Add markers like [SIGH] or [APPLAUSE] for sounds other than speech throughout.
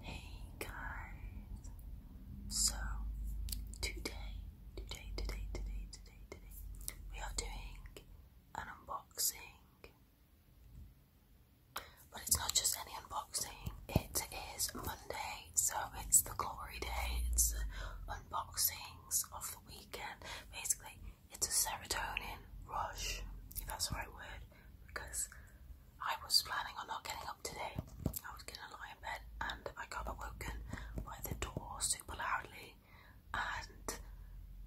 Hey guys! So today, today, today, today, today, today, we are doing an unboxing. But it's not just any unboxing, it is Monday, so it's the glory day, it's the unboxings of the weekend. Basically, it's a serotonin rush, if that's the right word because I was planning on not getting up today. I was gonna lie in bed and I got woken by the door super loudly and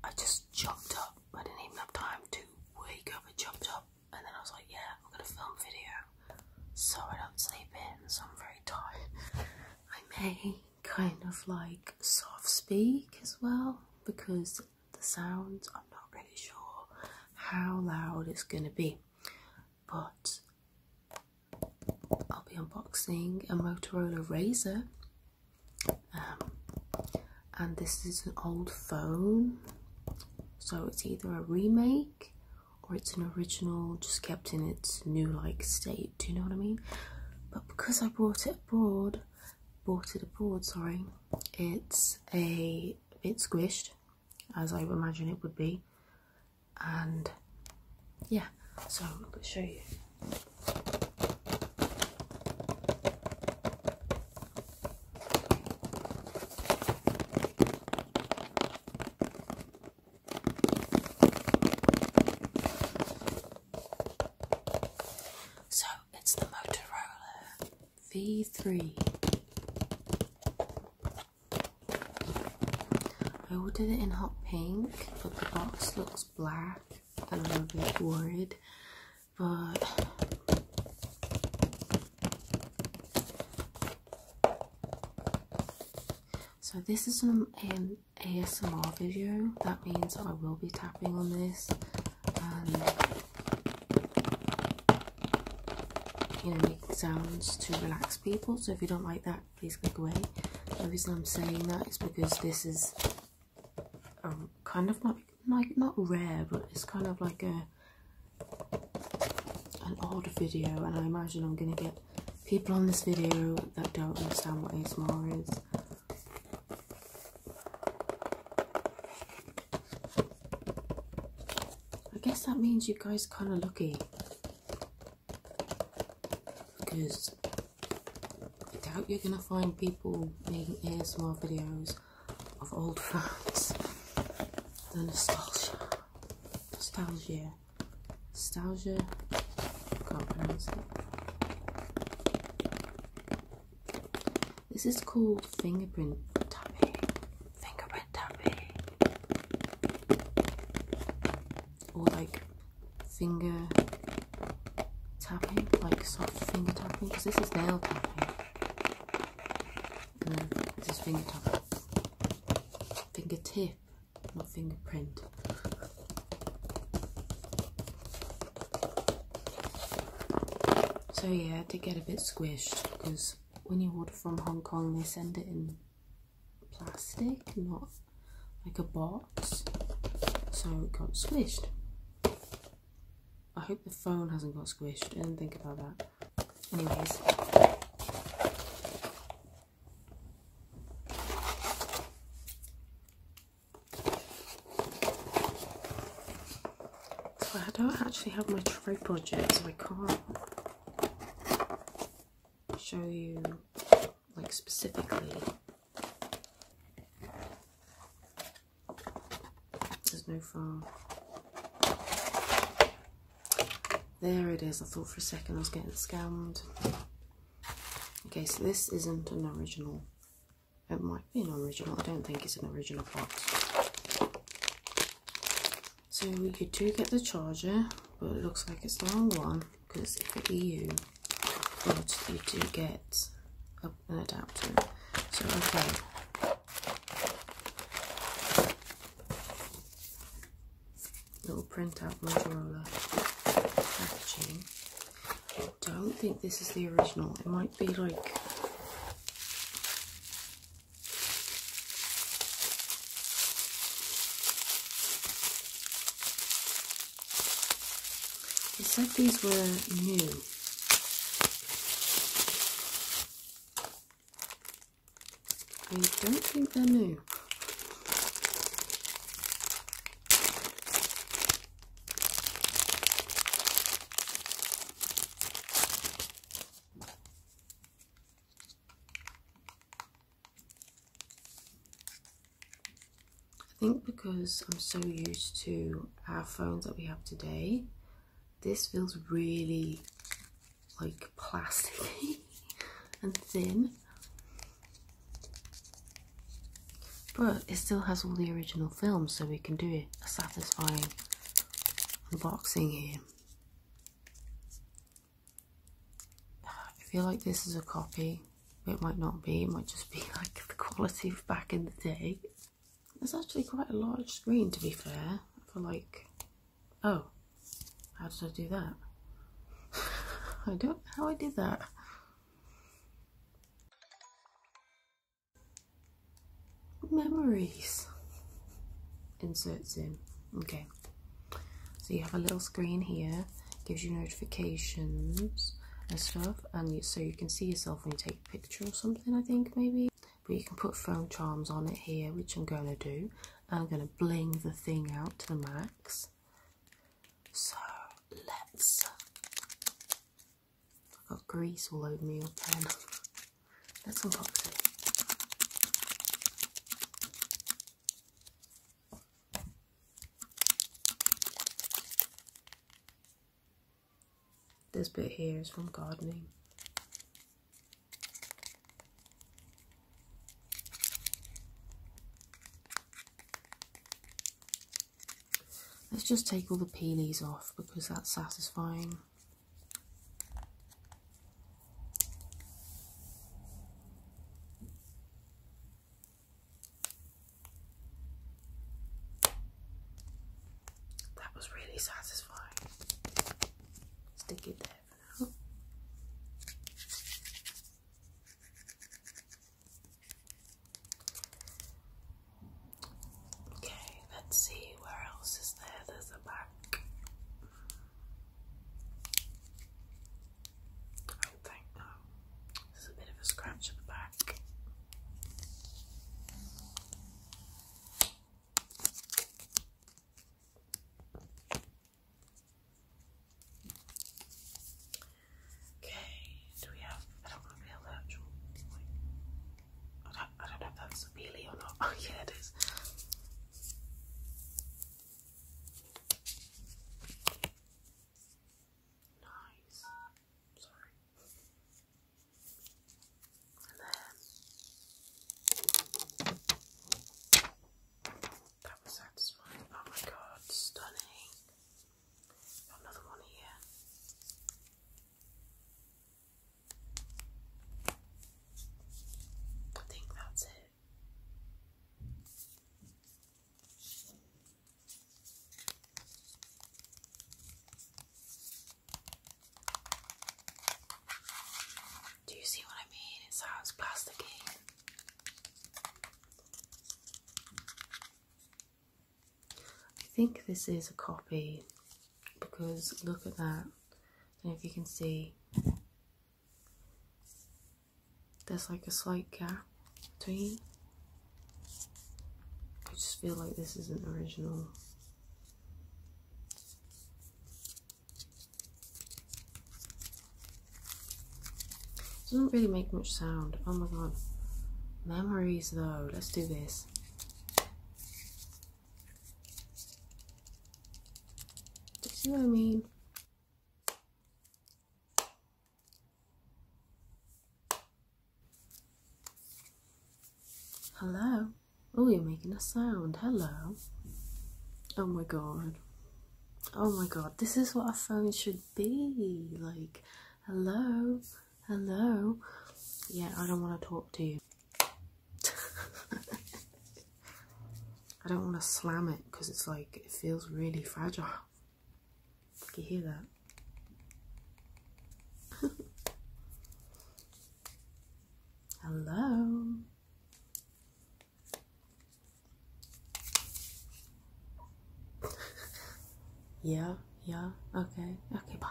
I just jumped up. I didn't even have time to wake up, I jumped up and then I was like, yeah, I'm gonna film video so I don't sleep in, so I'm very tired. I may kind of like soft speak as well because the sounds. I'm not really sure how loud it's gonna be, but I'll be unboxing a Motorola Razr, um, and this is an old phone, so it's either a remake or it's an original just kept in its new like state. Do you know what I mean? But because I brought it abroad, bought it abroad, sorry. It's a bit squished, as I imagine it would be. And yeah, so let's show you. So it's the Motorola V3. I ordered it in hot pink, but the box looks black, and I'm a bit worried. But so this is an ASMR video. That means I will be tapping on this um, you know, make sounds to relax people. So if you don't like that, please click away. The reason I'm saying that is because this is a um, kind of not like not rare, but it's kind of like a an odd video, and I imagine I'm gonna get people on this video that don't understand what ASMR is. I guess that means you guys kind of lucky because I doubt you're going to find people making ASMR videos of old [LAUGHS] fans. The nostalgia, nostalgia, nostalgia. This is called fingerprint tapping. Fingerprint tapping. Or like finger tapping, like soft finger tapping, because this is nail tapping. And then this is finger tapping. Fingertip, not fingerprint. So yeah, it did get a bit squished because when you order from Hong Kong, they send it in plastic, not like a box. So it got squished. I hope the phone hasn't got squished. I didn't think about that. Anyways. I don't actually have my tripod yet, so I can't show you like specifically. There's no far. There it is. I thought for a second I was getting scammed. Okay, so this isn't an original. It might be an original. I don't think it's an original box. So we do get the charger, but it looks like it's the wrong one because it's EU. But you do get an adapter. So okay little printout Motorola packaging. I don't think this is the original. It might be like It said these were new. I don't think they're new. I think because I'm so used to our phones that we have today, this feels really like plasticky [LAUGHS] and thin. But it still has all the original films, so we can do A satisfying unboxing here. I feel like this is a copy. It might not be, it might just be [LAUGHS] like the quality of back in the day. It's actually quite a large screen to be fair, for like Oh, how did I do that? [LAUGHS] I don't how I did that. Memories. Inserts in. Okay. So you have a little screen here, gives you notifications and stuff, and so you can see yourself when you take a picture or something, I think, maybe. But you can put phone charms on it here, which I'm going to do. I'm going to bling the thing out to the max. So let's. I've got grease all over me, your Let's unbox it. This bit here is from gardening. Let's just take all the peelies off because that's satisfying. That was really satisfying. Stick it there. Okay, let's see where else is there. There's a back. I don't think no. There's a bit of a scratch at the back. Okay, do we have? I don't to be allergic. Like, I, I don't know if that's a peely or not. [LAUGHS] Oh, yeah, it is. Nice. Sorry that was satisfying. Oh my god, stunning. Got another one here. I think that's it. Do you see what I mean? It sounds plasticky. I think this is a copy because look at that. if you can see. There's like a slight gap between. I just feel like this isn't original. Doesn't really make much sound. Oh my god. Memories though. Let's do this. Do you see what I mean? Hello? Oh, you're making a sound. Hello. Oh my god. Oh my god. This is what a phone should be. Like, hello. Hello. Yeah, I don't want to talk to you. [LAUGHS] I don't want to slam it because it's like, it feels really fragile. You hear that? [LAUGHS] Hello. yeah, yeah, okay, okay, bye.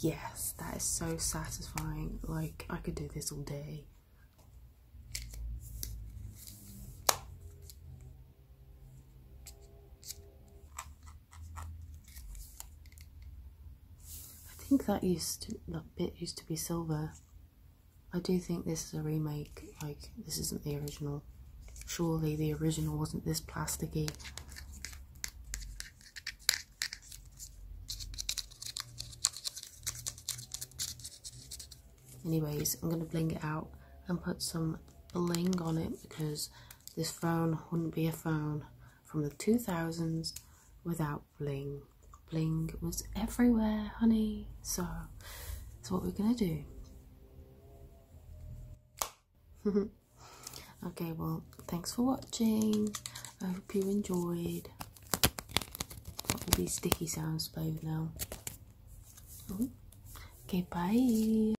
Yes, that is so satisfying. Like, I could do this all day. I think that used to, that bit used to be silver. I do think this is a remake, like, this isn't the original. Surely the original wasn't this plasticky. Anyways, I'm going to bling it out and put some bling on it because this phone wouldn't be a phone from the 2000s without bling. Bling was everywhere, honey. So, that's what we're gonna do? [LAUGHS] okay, well, thanks for watching. I hope you enjoyed. Got all these sticky sounds played now. Oh. Okay, bye.